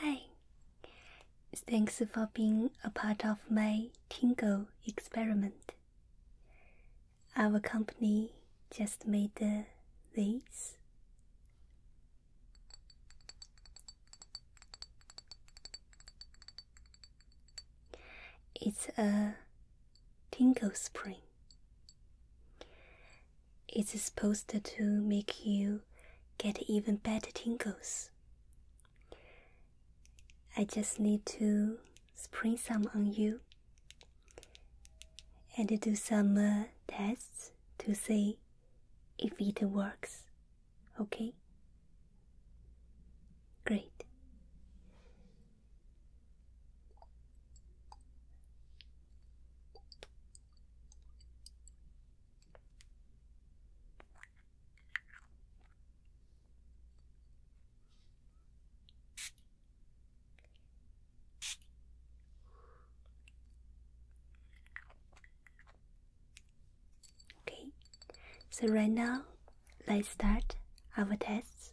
Hi, thanks for being a part of my tingle experiment. Our company just made uh, these. It's a tingle spring it's supposed to make you get even better tingles. I just need to spring some on you and do some uh, tests to see if it works. Okay? Great. Okay, so right now let's start our test.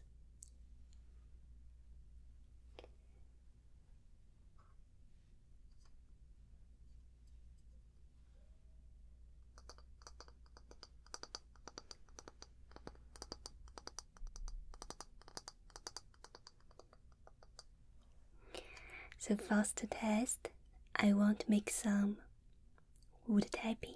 So first test, I want to make some wood tapping.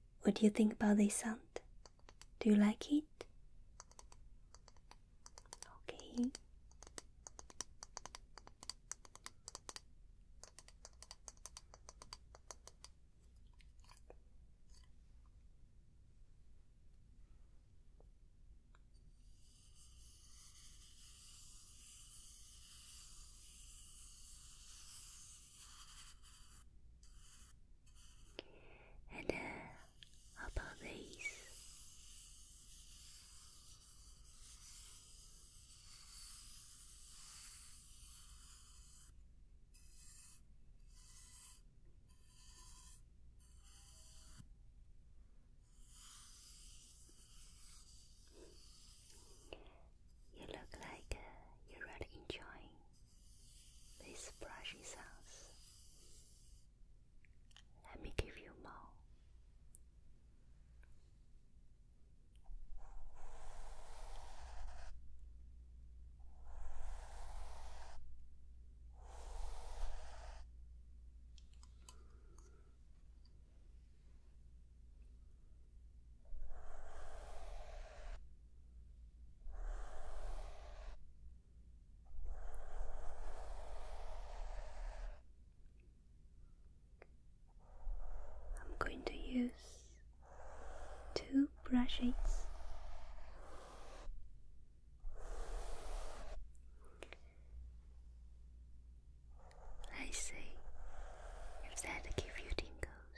what do you think about this sound? Do you like it? Okay. And uh, about these? You look like uh, you're really enjoying these brushing sounds. Let me give you more. I'm going to use two brushes I see if that give you tingles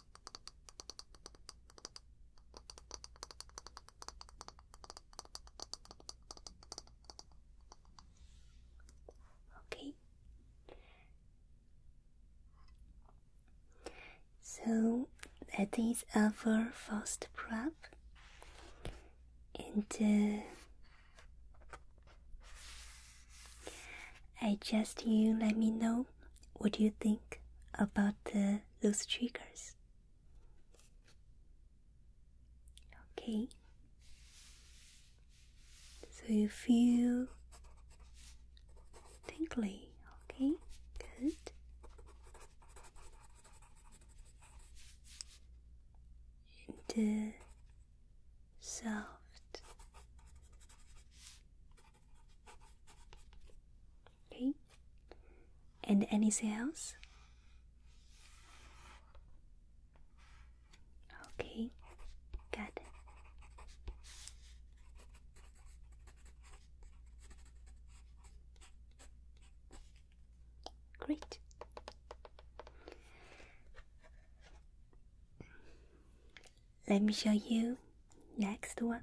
Okay. So that is our first prop, and uh, I just you let me know what you think about the those triggers. Okay, so you feel tingly, okay, good. And uh, soft Okay. And anything else? Okay, got it. Great. Let me show you next one.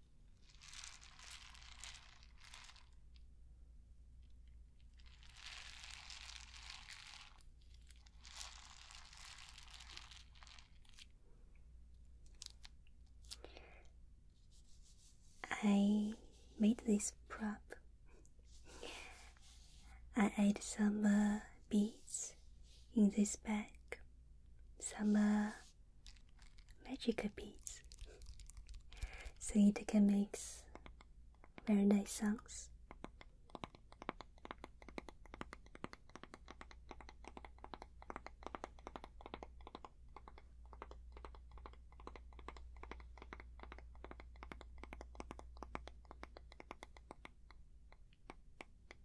I made this prop. I add some uh, beads in this bag, some magical beats, so it can make very nice sounds.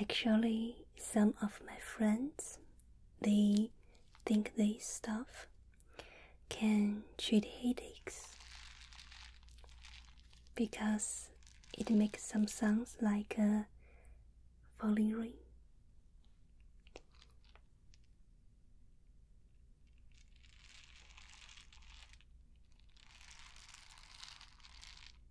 Actually, some of my friends they think this stuff can treat headaches because it makes some sounds like a uh, falling rain.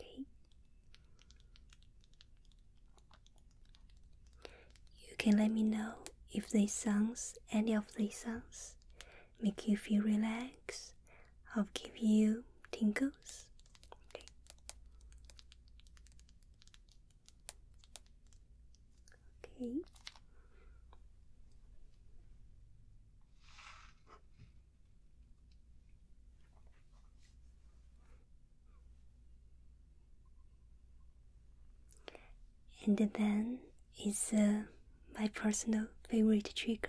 Okay. You can let me know if these songs, any of these songs, make you feel relaxed I'll give you tingles. Okay. And then is uh, my personal favorite trigger.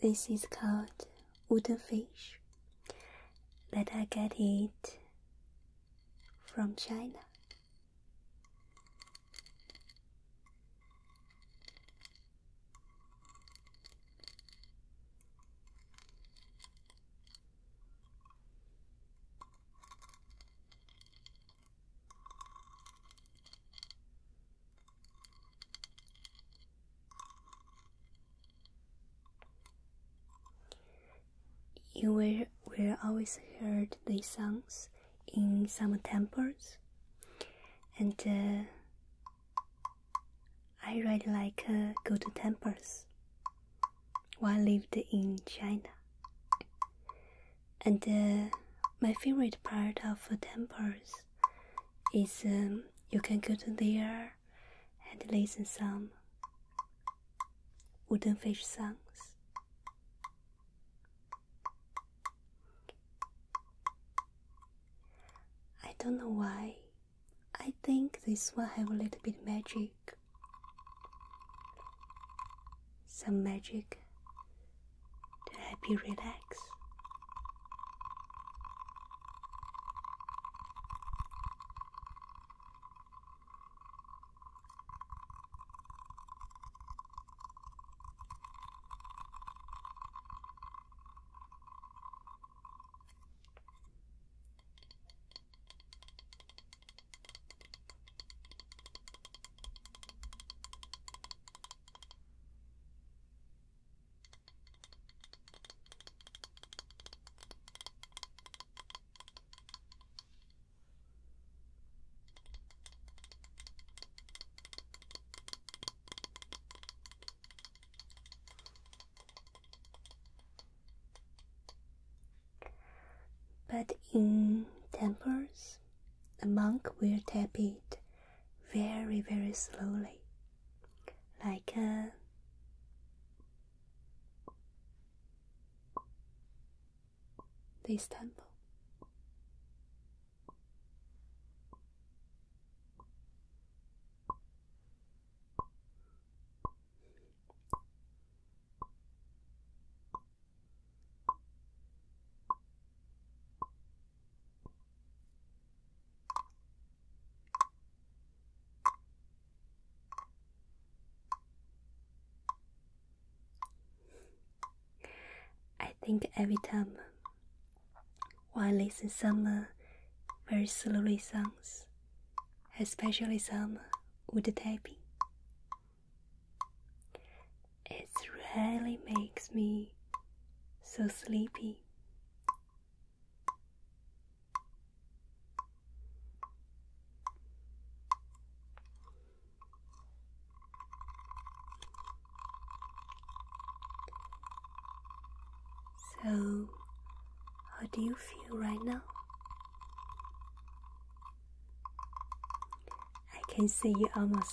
This is called wooden fish that I got it from China. You will, will always heard these songs in some temples, and uh, I really like uh, go to temples. While lived in China, and uh, my favorite part of temples is um, you can go to there and listen some wooden fish songs. I don't know why. I think this one have a little bit magic. Some magic to help you relax. But in temples, a monk will tap it very, very slowly, like a this temple. I think every time I listen some uh, very slowly songs, especially some wood tapping, it really makes me so sleepy. So, how do you feel right now? I can see you almost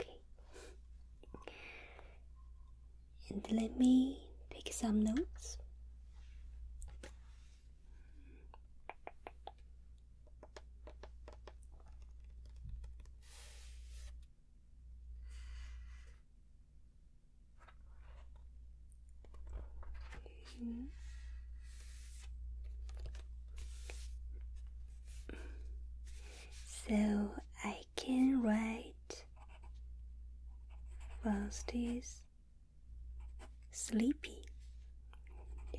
Okay. And let me take some notes. So I can write first is sleepy.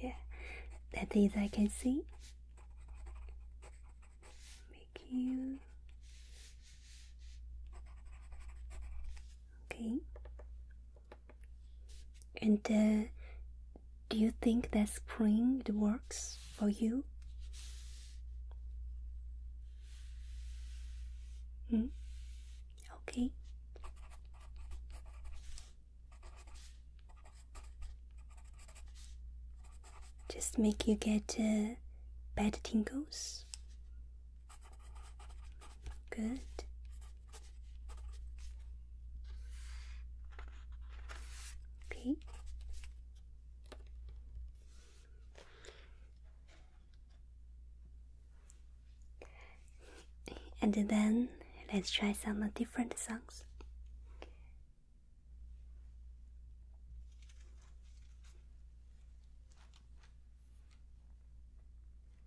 Yeah, that is I can see. Make you okay. And uh, do you think that spring works for you? Hmm? Okay. Just make you get uh, bad tingles. Good. Okay. And then let's try some different songs.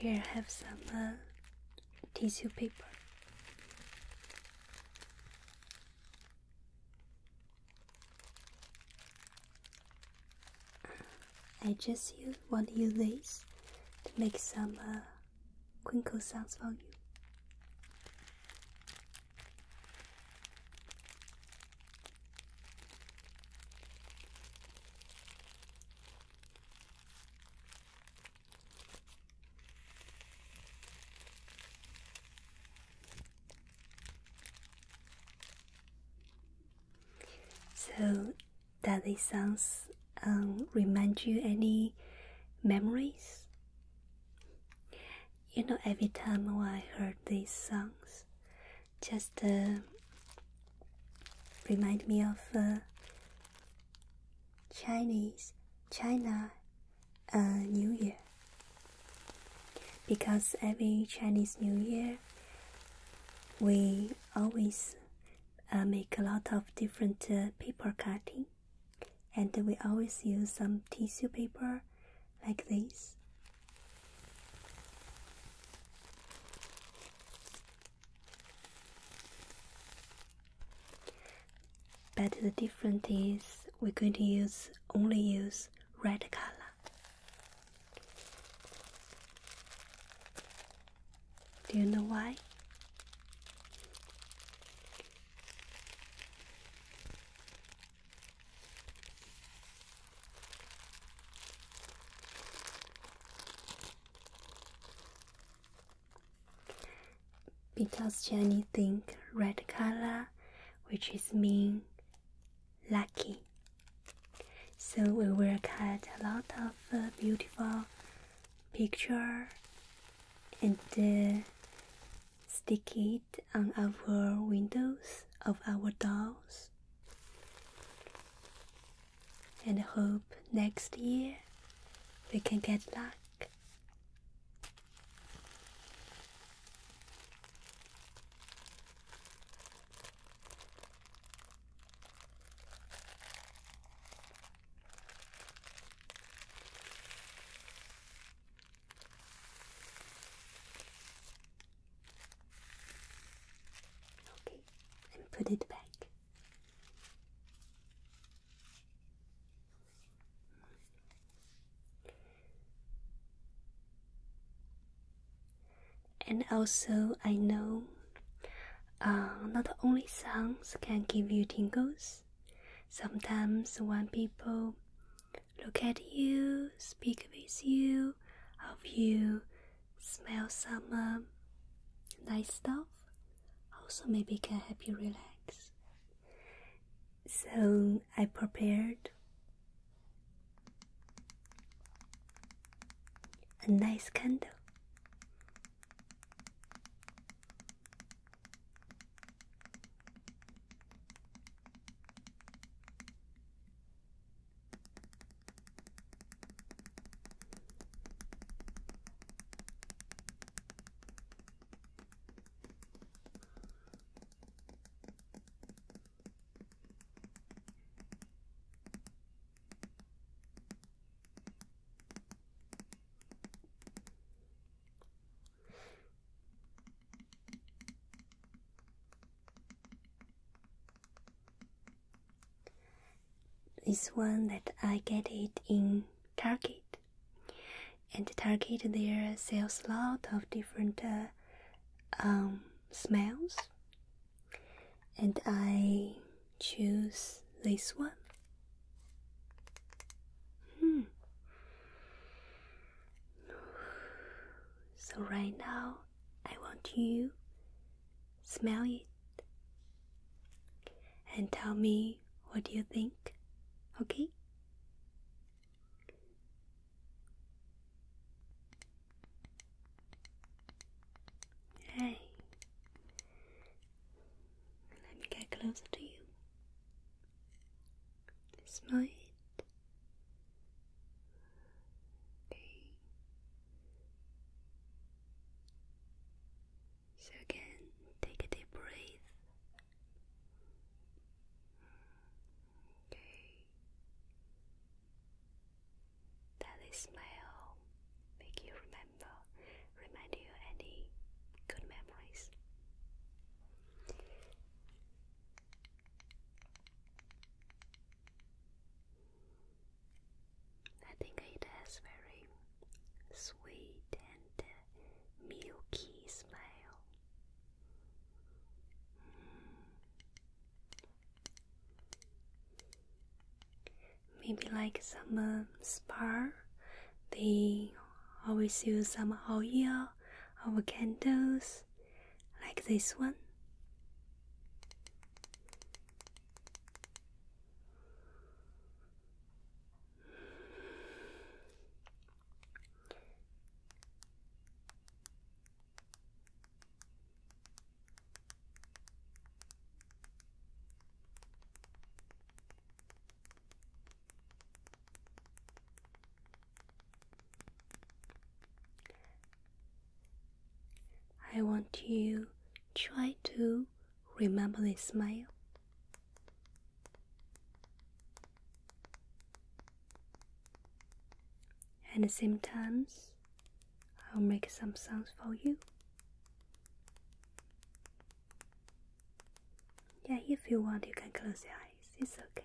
Here, have some uh, tissue paper. I just use, one to use this to make some uh, sounds for you. So, does it songs remind you any memories? You know, every time when I heard these songs, just uh, remind me of uh, Chinese, China, uh, New Year because every Chinese New Year we always uh, make a lot of different uh, paper cutting and we always use some tissue paper like this but the difference is we're going to use only use red color. Do you know why? because Jenny think red color, which is mean lucky. So we will cut a lot of beautiful picture and uh, stick it on our windows of our dolls. And hope next year we can get luck. Okay, and put it back. And also, I know uh, not only songs can give you tingles, sometimes when people look at you, speak with you, of you, smell some uh, nice stuff, also maybe can help you relax. So I prepared a nice candle. This one that I get it in Target and target their sales lot of different uh, um, smells. And I choose this one. Hmm. So right now, I want you smell it and tell me what do you think, okay? Hey, let me get closer to you. Smile. Okay. So again, take a deep breath. Okay. That smell make you remember, remind you any good memories. I think it has very sweet and uh, milky smell. Mm. Maybe like some uh, um, spa, they always use some oil or candles like this one. I want you try to remember this smile at the same time, I'll make some sounds for you. Yeah, if you want, you can close your eyes. It's okay.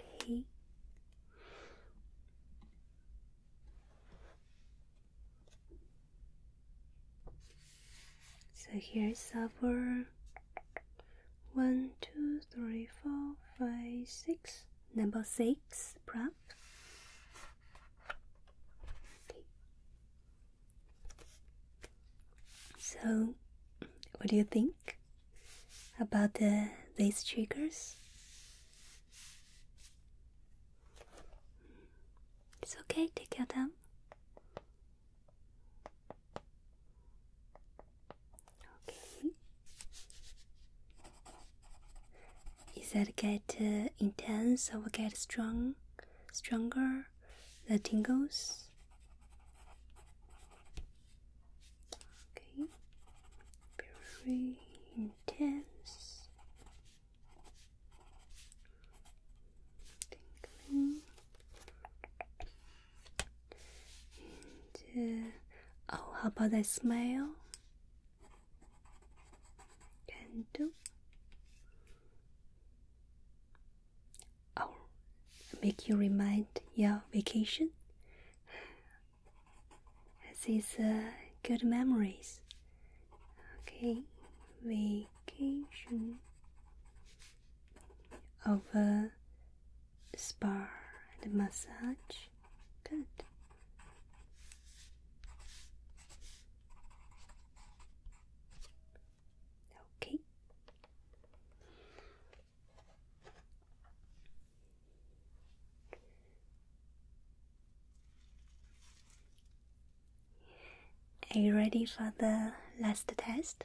Okay. So here's our one, two, three, four, five, six. Number six, prop. So, what do you think about the, these triggers? It's okay, take your them. Okay. Is that get uh, intense or get strong, stronger? The tingles. Okay, very intense. Tingling. Uh, oh, how about the smell? can do. Oh, make you remind your vacation. These uh, good memories. Okay, vacation of a spa and massage. Good. Okay. Are you ready for the last test?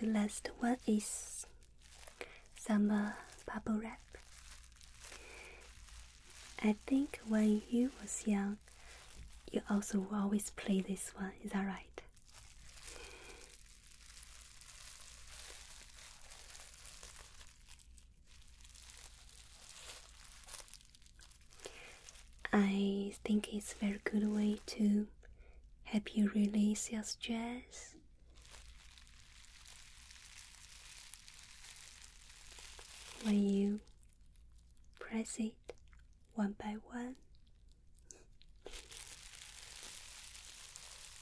The last one is some bubble wrap. I think when you was young, you also always play this one. Is that right? I think it's a very good way to help you release your stress. When you press it one by one,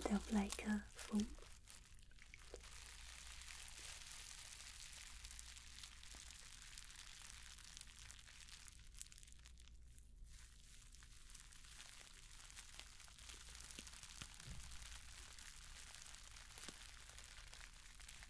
kind of like a foam.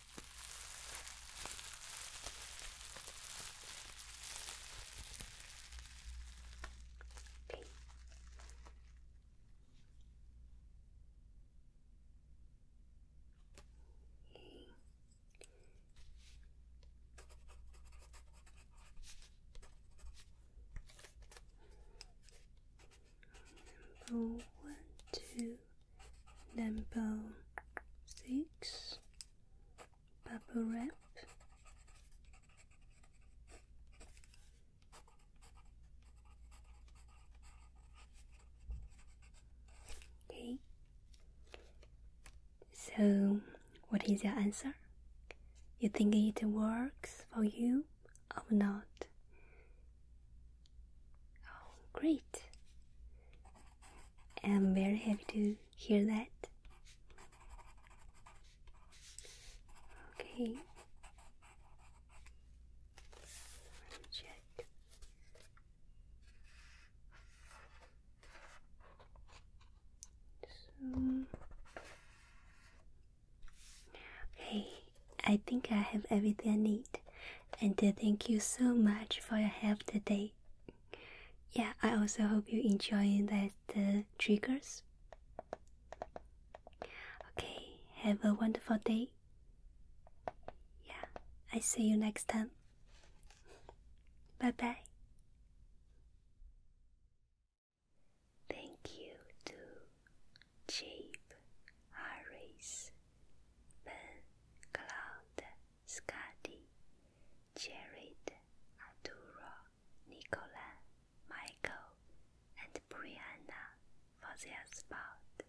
B. E. Number one, two. Number 6, Purple Wrap, Okay, so what is your answer? You think it works for you or not? Oh, great! I'm very happy to hear that. Okay. Check. okay, I think I have everything I need, and uh, thank you so much for your help today yeah, I also hope you enjoy that uh, triggers. Okay, have a wonderful day. Yeah, I see you next time. Bye bye. Thank you to Cheap Harris Ben Cloud Scotty, Jared, Adura, Nicola, Michael, and Brianna for their support.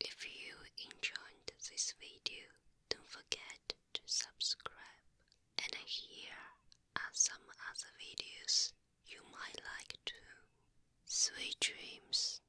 If you enjoyed this video, don't forget to subscribe. And here are some other videos you might like too. Sweet dreams.